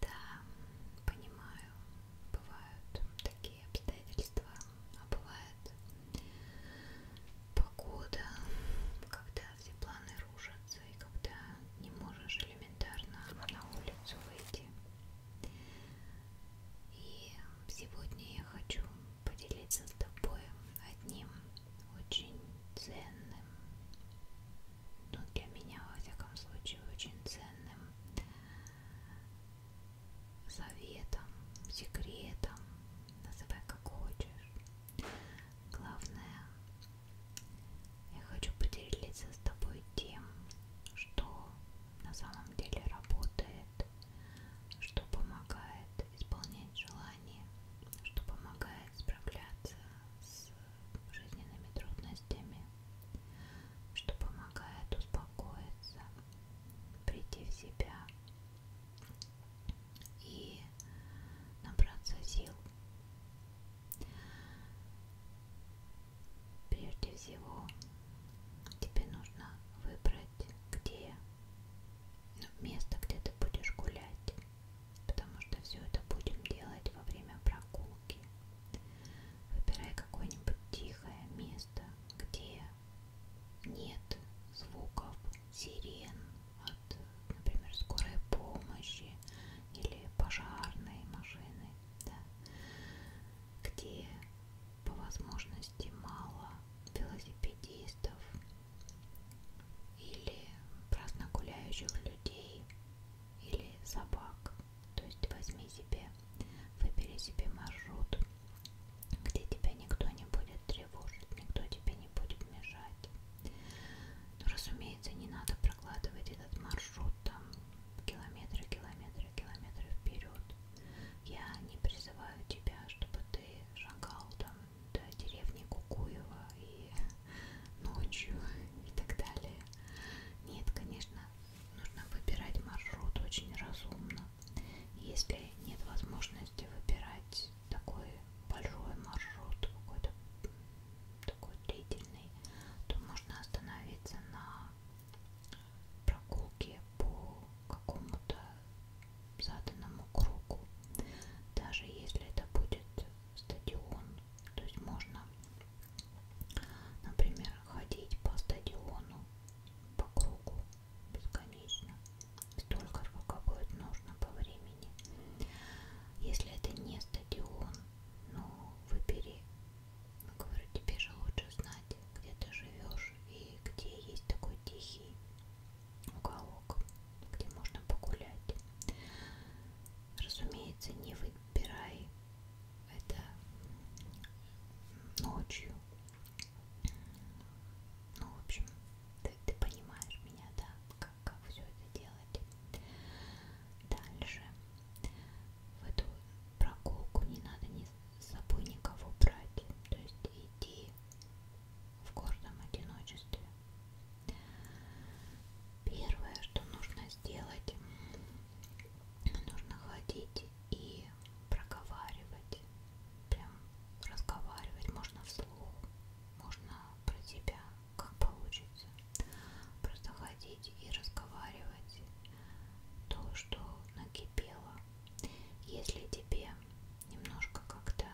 Да, понимаю, бывают такие обстоятельства, а бывает погода, когда все планы рушатся и когда не можешь элементарно на улицу выйти. И сегодня я хочу поделиться с тобой одним очень ценным, ну для меня, во всяком случае, очень ценным советом, секретом, называй как хочешь. Главное, я хочу поделиться с тобой тем, что на самом деле работает, что помогает исполнять желания, что помогает справляться с жизненными трудностями, что помогает успокоиться, прийти в себя и набраться сил. Прежде всего, тебе нужно выбрать, где ну, место, где ты будешь гулять потому что все это будем делать во время прогулки. Выбирай какое-нибудь тихое место, где нет звуков сирен от, например, скорой помощи или пожарной машины, да, где по возможности мало велосипедистов или праздно гуляющих людей или собак. То есть возьми себе, выбери себе маршрут, где тебя никто не будет тревожить, никто тебе не будет мешать. Но, ну, разумеется, не надо прокладывать этот маршрут там километры, километры, километры вперед. Я не призываю тебя, чтобы ты шагал там до деревни Кукуева и ночью и так далее. Нет, конечно, нужно выбирать маршрут очень разумно. Если нет возможности выбирать такой большой маршрут, какой-то такой длительный, то можно остановиться на прогулке по какому-то заданному кругу. Даже если это будет стадион, то есть можно, например, ходить по стадиону, по кругу бесконечно, столько, сколько будет нужно по времени. Если это не стадион, ну, выбери, говорю, тебе же лучше знать, где ты живешь и где есть такой тихий уголок, где можно погулять. Разумеется, не выбирай это ночью. Ну, в общем, ты, ты понимаешь меня, да, как, как все это делать. Дальше в эту прогулку не надо ни с собой никого брать. То есть иди в гордом одиночестве. Первое, что нужно сделать, нужно ходить и проговаривать, прям разговаривать можно вслух, можно про себя, как получится. Просто ходить и разговаривать то, что накипело. Если тебе немножко как-то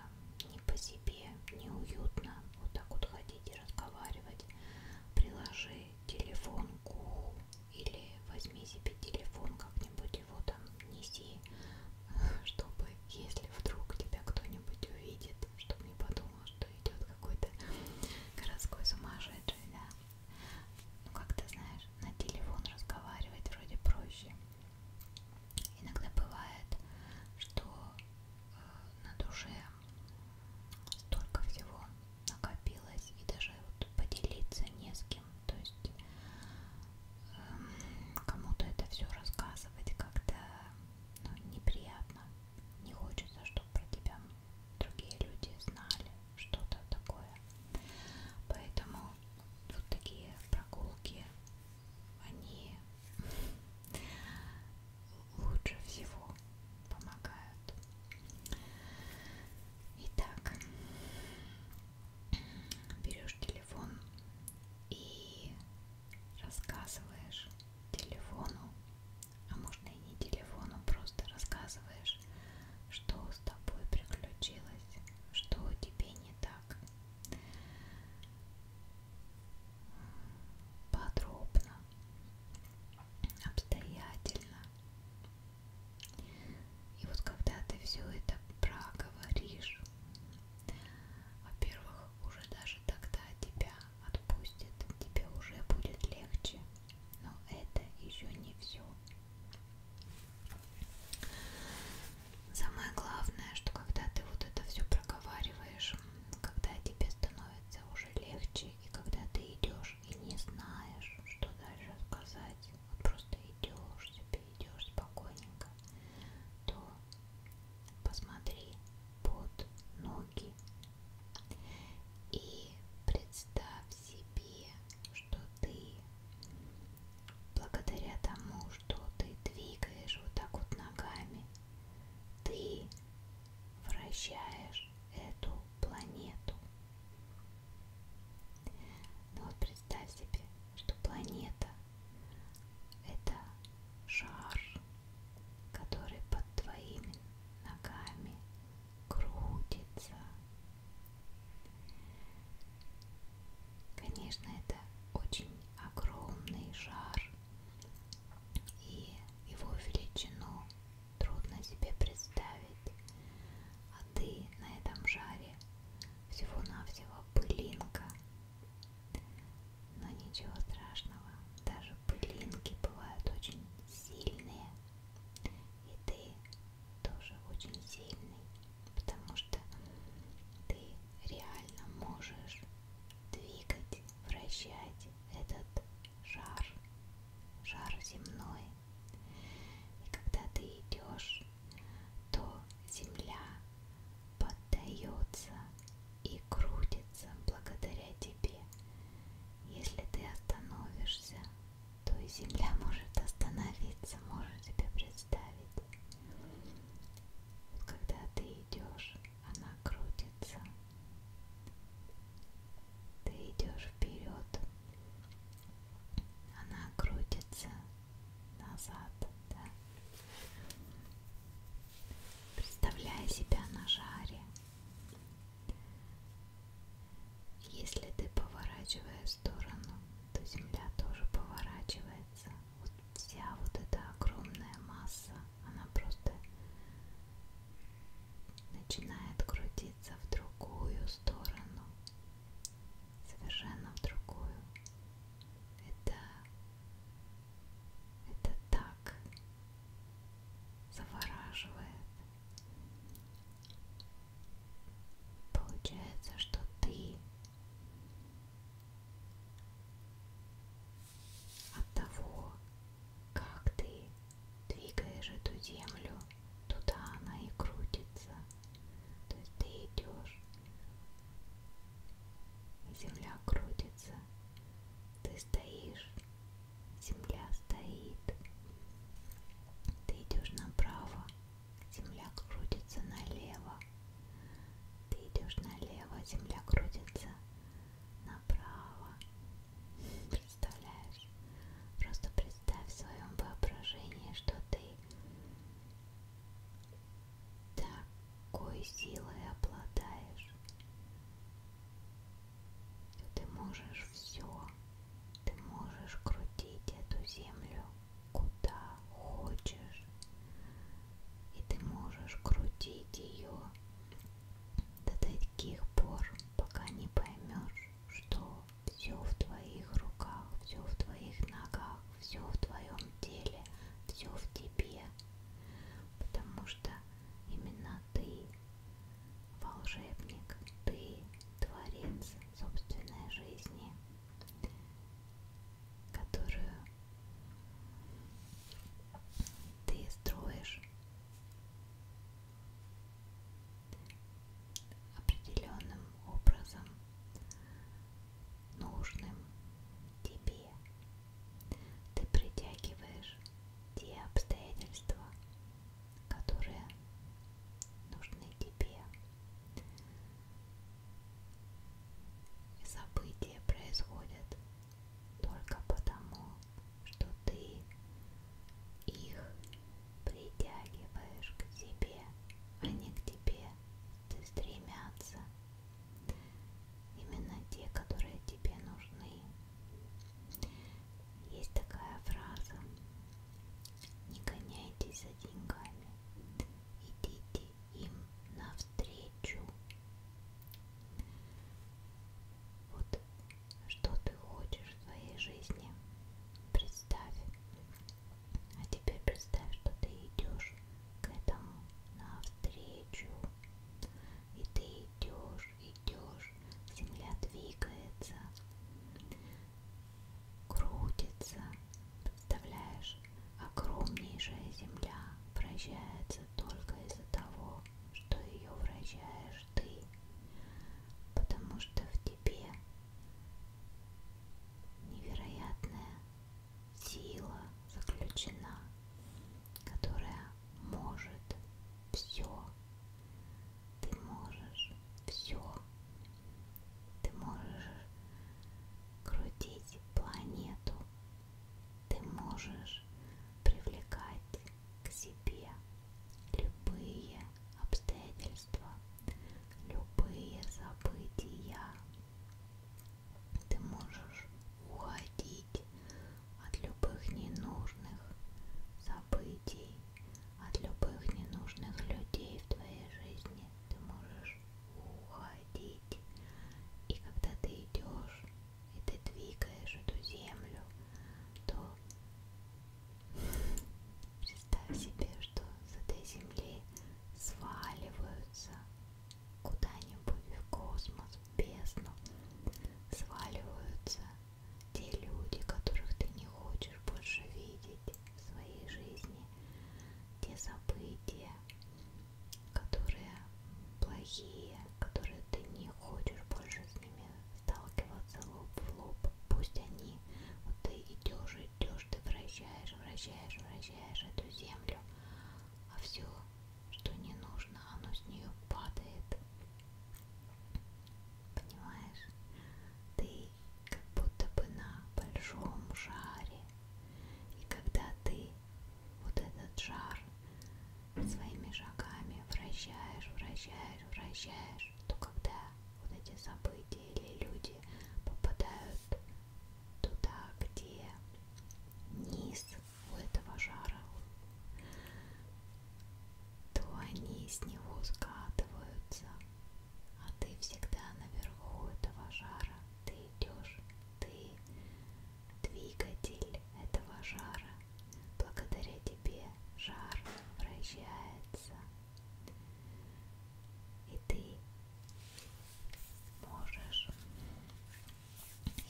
не по себе, неуютно вот так вот ходить и разговаривать, приложи телефон к уху или возьми себе телефон как-нибудь его там неси, чтобы если вдруг тебя кто-нибудь увидит, чтобы не подумал, что идет какой-то городской сумасшедший, да. Ну как ты знаешь, на телефон разговаривать вроде проще. Иногда бывает, что э, на душе столько всего накопилось, и даже вот поделиться не с кем. То есть э, кому-то это все рассказывать как-то ну, неприятно. Не хочется, чтобы про тебя другие люди знали что-то такое. Поэтому вот такие прогулки они лучше всего помогают. Итак, берешь телефон и рассказываешь телефону, а можно и не телефону, просто рассказываешь, что с тобой приключилось, что тебе не так, подробно, обстоятельно. И вот когда ты все это проговоришь, во-первых, уже даже тогда тебя отпустит, тебе уже будет легче, но это еще не все. Самое главное, что когда ты вот это все проговариваешь, когда тебе становится уже легче, и когда ты идешь и не знаешь, что дальше сказать, вот просто идешь себе, идешь спокойненько, то посмотри под ноги и представь себе что ты благодаря тому, что ты двигаешь вот так вот ногами, ты вращаешь эту планету. Ну вот представь себе, что планета это шар, который под твоими ногами крутится, Конечно, это очень огромный шар, и его величину трудно себе представить. А ты на этом шаре всего-навсего пылинка. Но ничего страшного, даже пылинки бывают очень сильные. И ты тоже очень сильный потому что ты реально можешь двигать, вращать этот шар, шар земной. И когда ты идешь, то земля поддается и крутится благодаря тебе. Если ты остановишься, то и земля может остановиться, может себе представить. Вот когда ты идешь, она крутится. Ты идешь вперед, она крутится назад, да? Представляя себя на жаре, если ты поворачиваешь сторону, то Земля тоже поворачивается. Вот вся вот эта огромная масса, она просто начинает крутиться в другую сторону. Совершенно в другую. Это... Это так завораживает. Получается, что ты от того, как ты двигаешь эту землю, туда она и крутится. То есть ты идешь, земля крутится, ты стоишь, земля стоит. Ты идешь направо, земля крутится налево. Ты идешь налево, земля крутится направо. Представляешь? Просто представь в своем воображении, что ты такой силой обладаешь, ты можешь все. Ты можешь крутить эту землю куда хочешь. И ты можешь крутить ее до таких пор, пока не поймешь, что все в твоих руках, все в твоих ногах, все в твоем теле, все в тебе. Потому что именно ты Волшебник, ты творец собственной жизни, которую ты строишь определенным образом, нужным тебе. Ты притягиваешь те обстоятельства, которые нужны тебе. И события происходят только потому, что ты их притягиваешь к себе, а не к тебе ты стремятся. Именно те, которые тебе нужны. Есть такая фраза. Не гоняйтесь за деньгами. Идите им навстречу. Вот что ты хочешь в своей жизни. Представь. А теперь представь, что ты идешь к этому навстречу. И ты идешь идешь, идешь, земля двигается, крутится, представляешь, огромнейшая земля вращается только из-за того, что ее вращаешь ты, потому что в тебе невероятная сила заключена которая может все. Ты можешь все. Ты можешь крутить планету. Ты можешь привлекать к себе любые обстоятельства, любые события. Ты можешь уходить защитить от любых ненужных событий, от любых ненужных людей в твоей жизни. Ты можешь уходить. И когда ты идешь, и ты двигаешь эту землю, то представь себе, что с этой земли сваливаются куда-нибудь в космос, бездну сваливаются те люди, которых ты не хочешь больше видеть в своей жизни, те события, которые плохие, которые ты не хочешь больше с ними сталкиваться лоб в лоб. Пусть они, вот ты идешь, идешь, ты вращаешь, вращаешь, вращаешь эту землю, а все что не нужно, оно с нее падает. Понимаешь? Ты как будто бы на большом жаре. И когда ты вот этот жар своими шагами вращаешь, вращаешь, вращаешь, то когда вот эти события или люди попадают туда, где низ у этого жара, то они с него скатываются, а ты всегда наверху этого жара, ты идешь, ты двигатель этого жара, благодаря тебе жар вращается, и ты можешь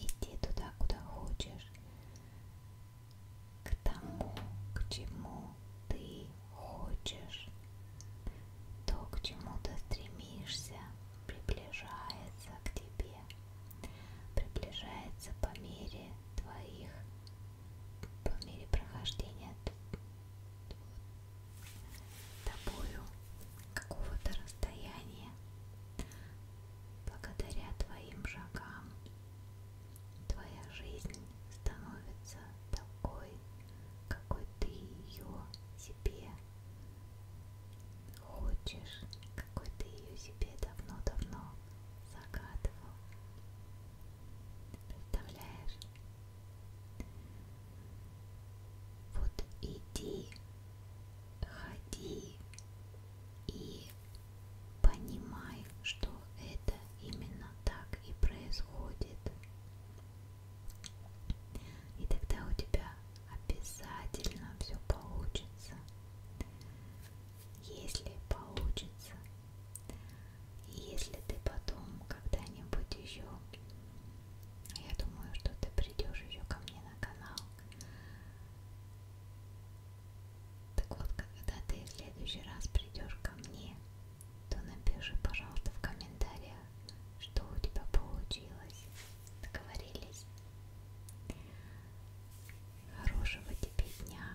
Иди туда, куда хочешь, к тому, к чему ты хочешь. То, к чему ты стремишься, приближается к тебе, приближается по мере твоих, по мере прохождения тобою какого-то расстояния Благодаря твоим шагам твоя жизнь становится такой, какой ты ее себе хочешь, какой ты ее себе давно-давно загадывал. Представляешь? Вот иди ходи и понимай, что это именно так и происходит. И тогда у тебя обязательно все получится. Если получится. И если ты потом когда-нибудь еще я думаю, что ты придешь еще ко мне на канал. Так вот, когда ты в следующий раз придешь ко мне, то напиши, пожалуйста, в комментариях, что у тебя получилось. Договорились? Хорошего тебе дня.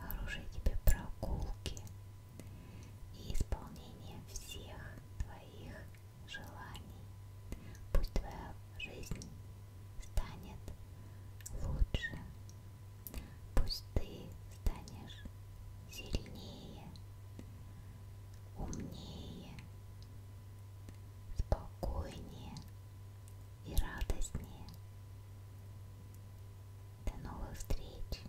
Хорошей тебе прогулки и исполнения всех твоих желаний. Пусть твоя жизнь станет лучше. Пусть ты станешь сильнее, умнее, спокойнее и радостнее. До новых встреч!